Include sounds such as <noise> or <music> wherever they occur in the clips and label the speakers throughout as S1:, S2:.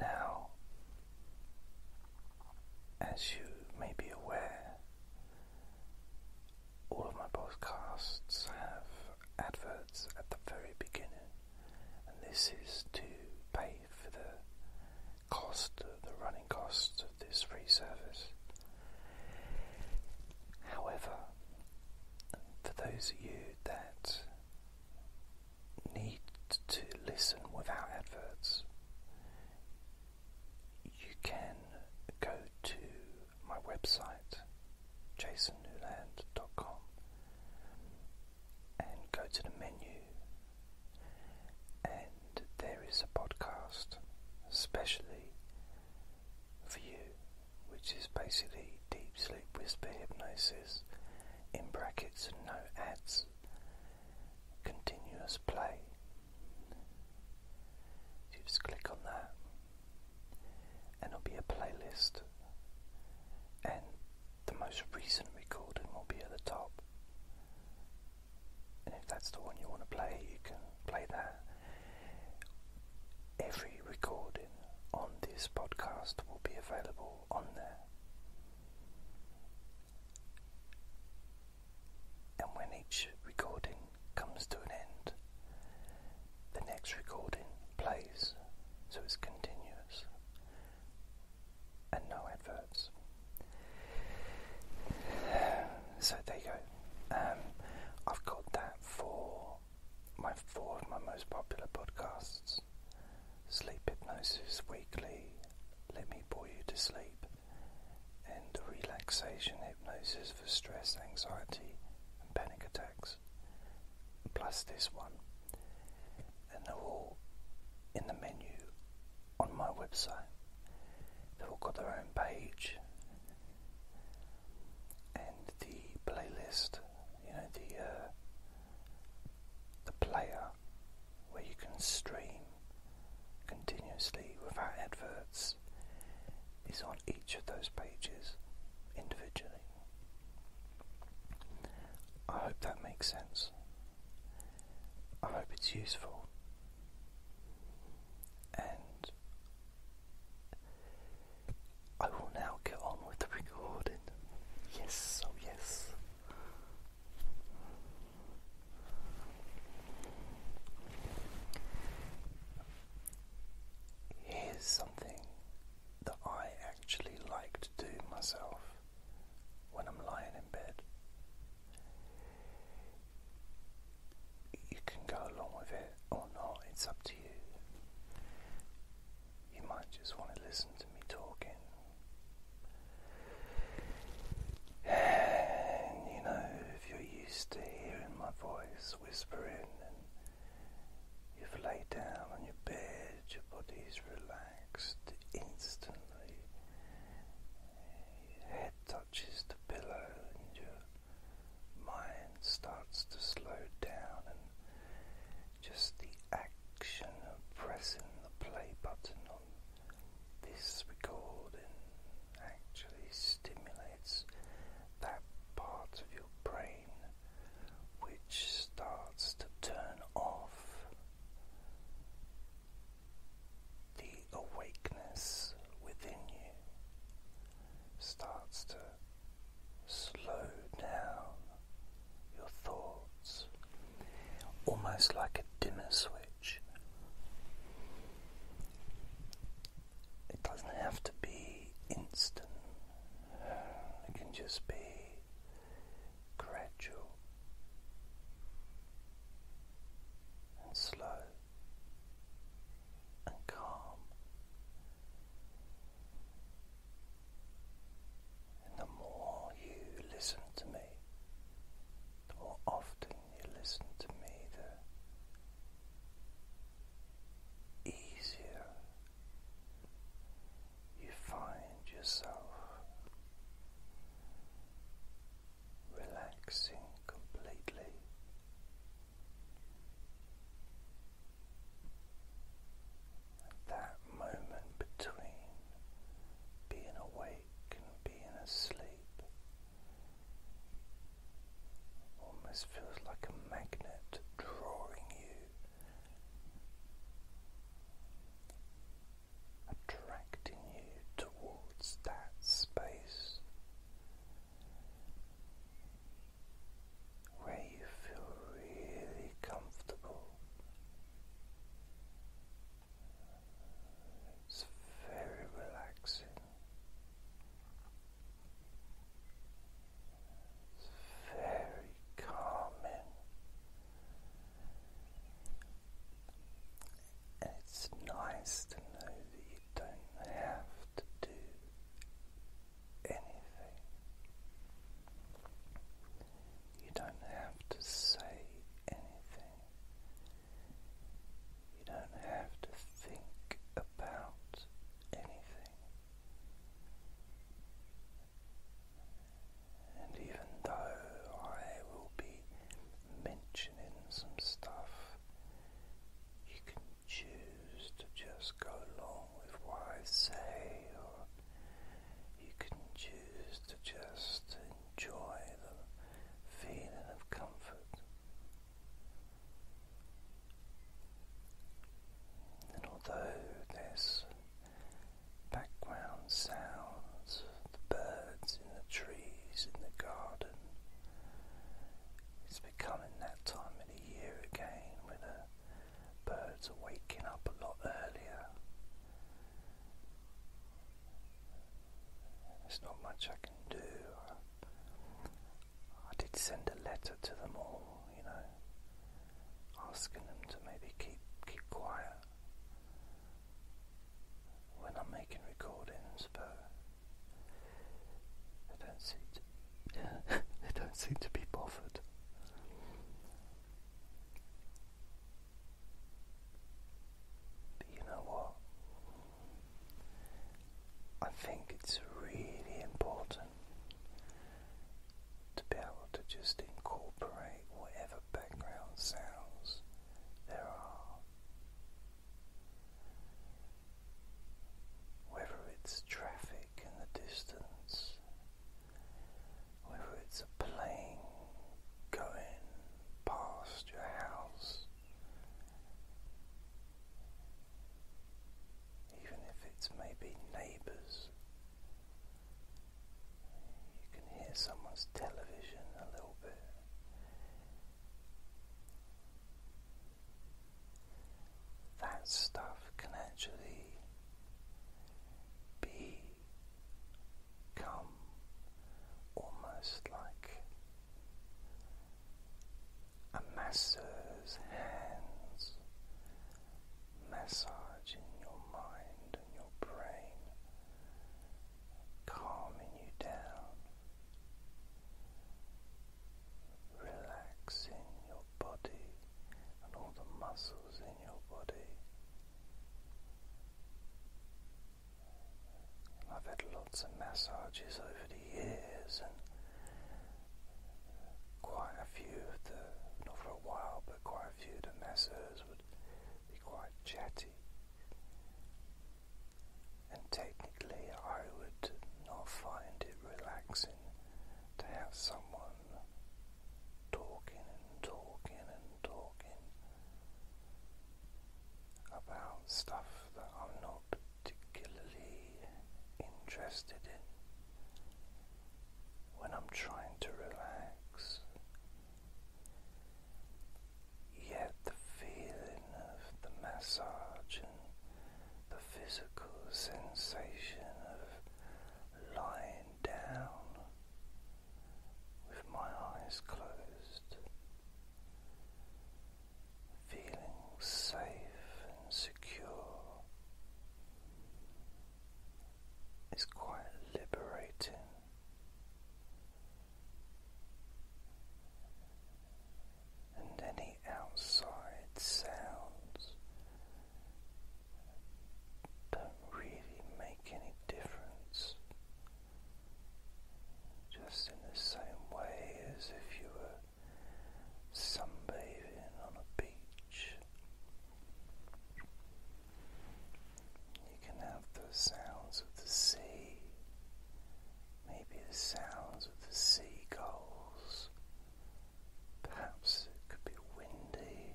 S1: now, as you may be aware, all of my broadcasts have adverts at the very beginning, and this is to pay for the cost, the running cost of this free service. However, for those of you that need to listen without adverts, you can go to my website, jasonnewland.com, and go to the menu, and there is a podcast, especially for you, which is basically deep sleep whisper hypnosis in brackets and no ads continuous play you just click on that and it'll be a playlist and the most recent recording will be at the top and if that's the one you want to play you can play that every recording on this podcast will be available on there and when each recording comes to an end, the next recording plays, so it's continuous and no adverts. So there you go. Um, I've got that for my four of my most popular podcasts Sleep Hypnosis Weekly, Let Me Bore You to Sleep, and Relaxation Hypnosis for Stress, Anxiety, and Panic Attacks, plus this one. And they're all in the menu on my website. They've all got their own page and the playlist, you know, the uh, the player where you can stream continuously without adverts is on each of those pages individually. I hope that makes sense. I hope it's useful. And I will now get on with the recording. Yes, oh yes. Here's something that I actually like to do myself when I'm lying in bed. You can go along with it or not, it's up to you. You might just want to listen to me talking. And you know, if you're used to hearing my voice whispering and you've laid down on your bed, your body's relaxed instantly. head touches the pillow and your mind starts to slow down and just the action of pressing the play button on this recording actually stimulates that part of your brain which starts to turn off the awakeness within you starts to slow down your thoughts, almost like a dimmer switch. It doesn't have to be instant, it can just be gradual and slow and calm the more you listen to me, the more often you listen to me, the easier you find yourself relaxing completely. That moment between being awake and being asleep almost feels like a magnet drawing you, attracting you towards that space where you feel really comfortable. It's very relaxing. It's very calming. And it's nice to know that you don't have to do anything. You don't have to say anything. You don't have to think about anything. And even though I will be mentioning some stuff, you can choose to just go along with what I say, or you can choose to just enjoy the feeling of comfort. And although there's background sounds the birds in the trees in the garden, it's becoming that time of the year again when a Birds are waking up a lot earlier. There's not much I can do. I did send a letter to them all, you know, asking them to maybe keep keep quiet when I'm making recordings, but they don't seem to yeah, they don't seem to be bothered. But you know what? I think it's really important to be able to just incorporate whatever background sounds there are. Whether it's traffic in the distance, whether it's a plane going past your house, even if it's maybe neighbours. You can hear someone's television a little bit that stuff can actually become almost like a masseur's hands massaging your mind and your brain, calming you down relaxing your body and all the muscles in your body. I've had lots of massages over the years and quite a few of the, not for a while, but quite a few of the masseurs would be quite chatty. And technically I would not find it relaxing to have someone talking and talking and talking about stuff that I'm not particularly interested in when I'm trying to relax. Yet the feeling of the massage the physical sensation of lying down with my eyes closed, feeling safe and secure is quite liberating and any outside sounds don't really make any difference. Just in the same way as if you were sunbathing on a beach, you can have the sounds of the sea, maybe the sounds of the seagulls Perhaps it could be windy.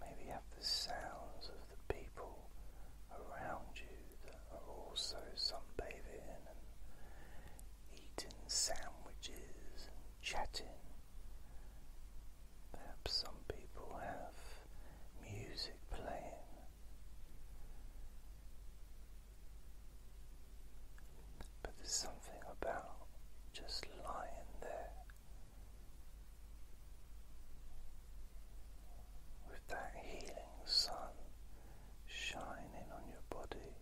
S1: maybe have the sounds of the people around you that are also sunbathing and eating sandwiches and chatting. Perhaps some people have music playing. But there's something about just lying there with that healing sun shining on your body,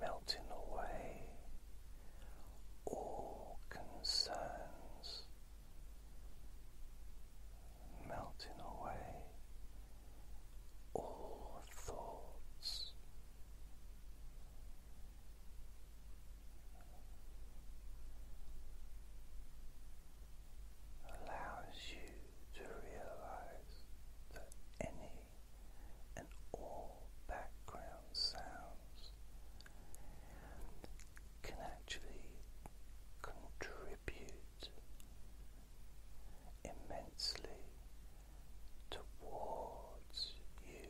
S1: melting away all concerns melting away all thoughts. Allows you to realize that any and all background sounds can actually contribute immensely towards you,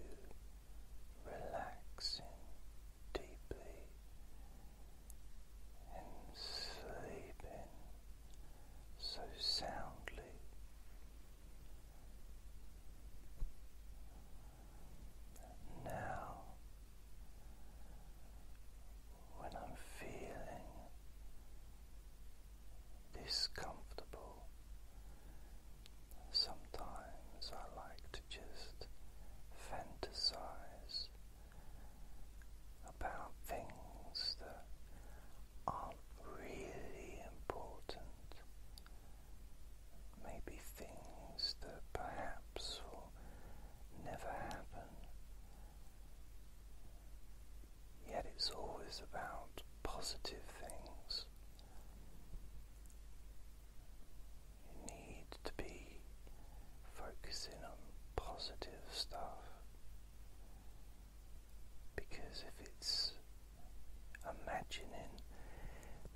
S1: relaxing deeply and sleeping so soundly. Now, when I'm feeling this comfortable. Sometimes I like to just fantasize about things that aren't really important. Maybe things that perhaps will never happen, Yet it's always about positive things. You need to be focusing on positive stuff because if it's imagining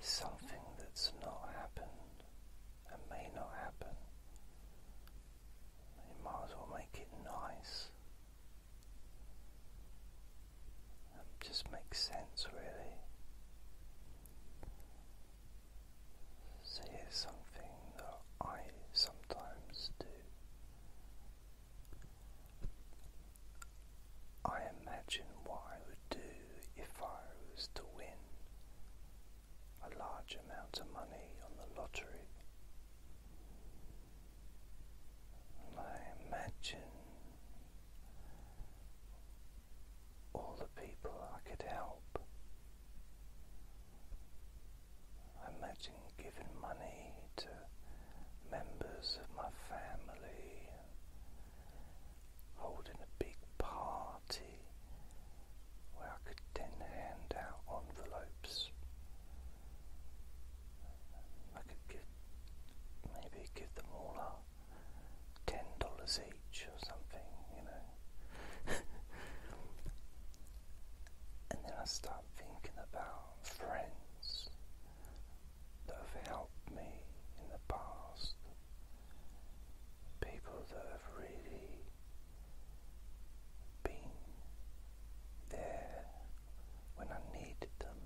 S1: something that's not happened, and may not happen. You might as well make it nice. It um, just makes sense, really. So here's something that I sometimes do. I imagine what I would do if I was to win a large amount of money on the lottery. I imagine all the people I could help. I imagine giving money to members of my family, holding a big party where I could then hand out envelopes. I could give maybe give them all a ten dollars each or something, you know. <laughs> and then I start thinking about friends that have helped me in the past, people that have really being there when I needed them,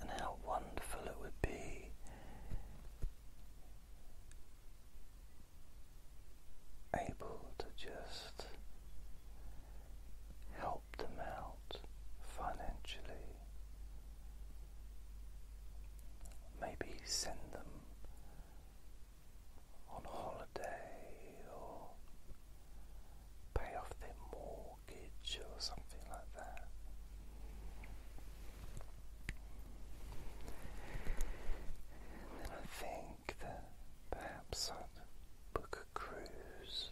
S1: and how wonderful it would be able to just help them out financially. Maybe send them on holiday or pay off their mortgage or something like that. And then I think that perhaps I'd book a cruise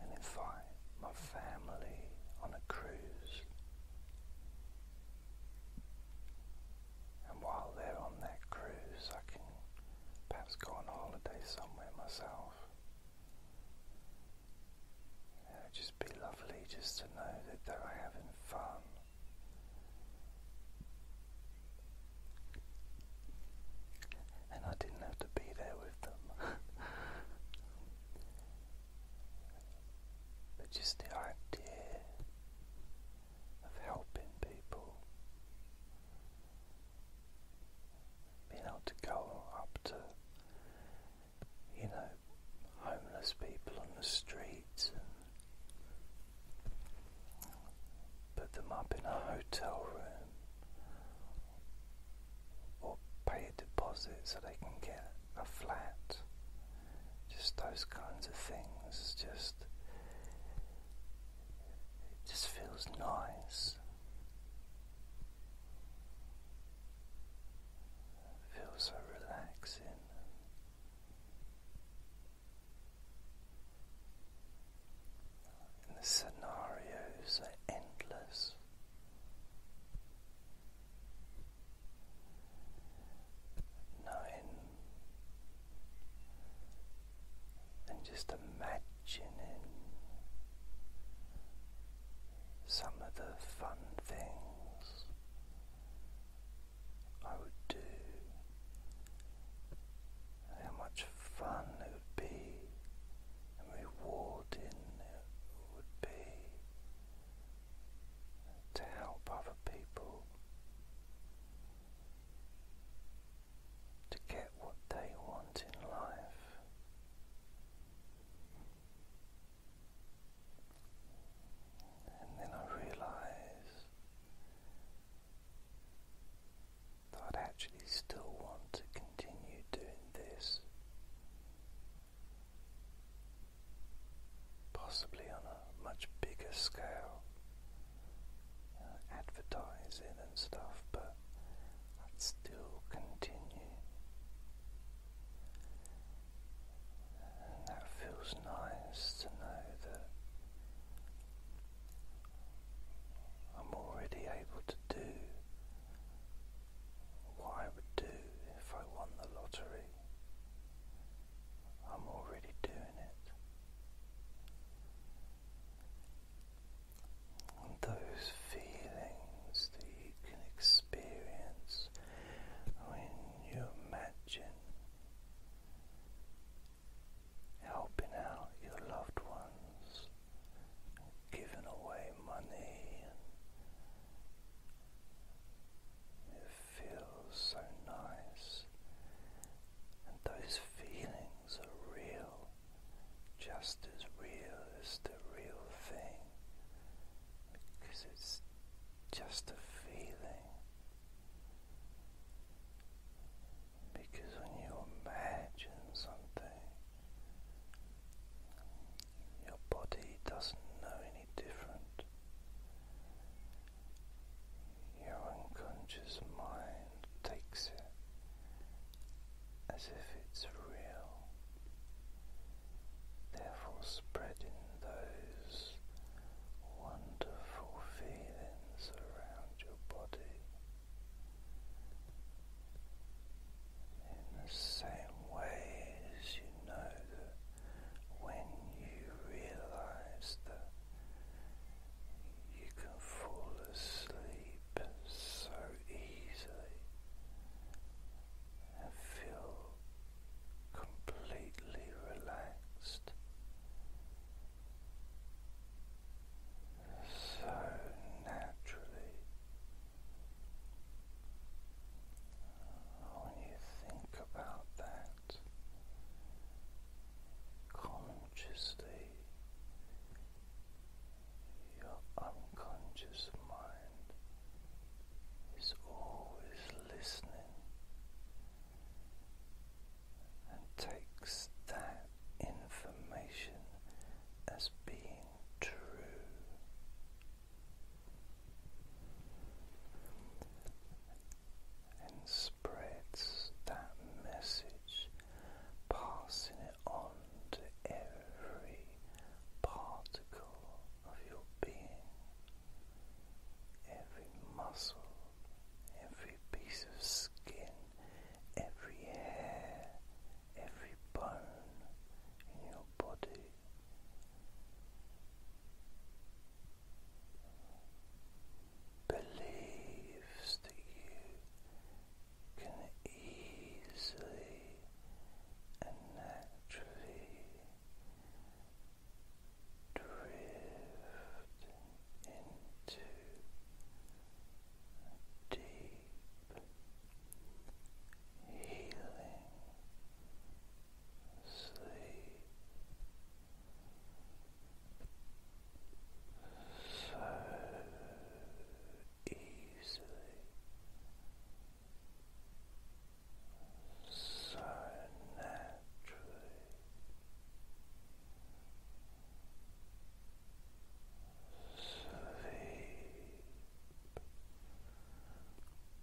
S1: and invite my family on a cruise. And while they're on that cruise, I can perhaps go on holiday somewhere myself. It would just be lovely just to know that they're having fun. And I didn't have to be there with them. <laughs> But just the idea of helping people, being able to go up to, you know, homeless people on the streets put them up in a hotel room or pay a deposit so they can get a flat, just those kinds of things. Just just feels nice. feels so relaxing. And the scenarios are endless nine, and just imagining some of the fun things I would do, how much fun it would be and rewarding it would be to help other people to get what they want in life. And then I realised that I'd actually still want to continue doing this possibly on a much bigger scale, advertising and stuff, but i still continue. And that feels nice to know that I'm already able to do what I would do if I won the lottery. I'm already doing it. those feelings that you can experience when you imagine helping out your loved ones, giving away money, it feels so nice, and those feelings are real, just as real as the real thing, because it's just a feeling. Because when you imagine something, your body doesn't know different. Your unconscious mind takes it as if it's real, therefore, spreading those wonderful feelings around your body. In the same ways you know that when you realize that you can fall asleep so easily and feel completely relaxed. So naturally when you think about that consciously, your unconscious mind is always listening and takes that information as being true. And spreads that message, passing it on to every particle of your being, every muscle, every piece of skin, every hair, every bone in your body believes you can easily and naturally drift into deep healing sleep. So easily, so naturally, sleep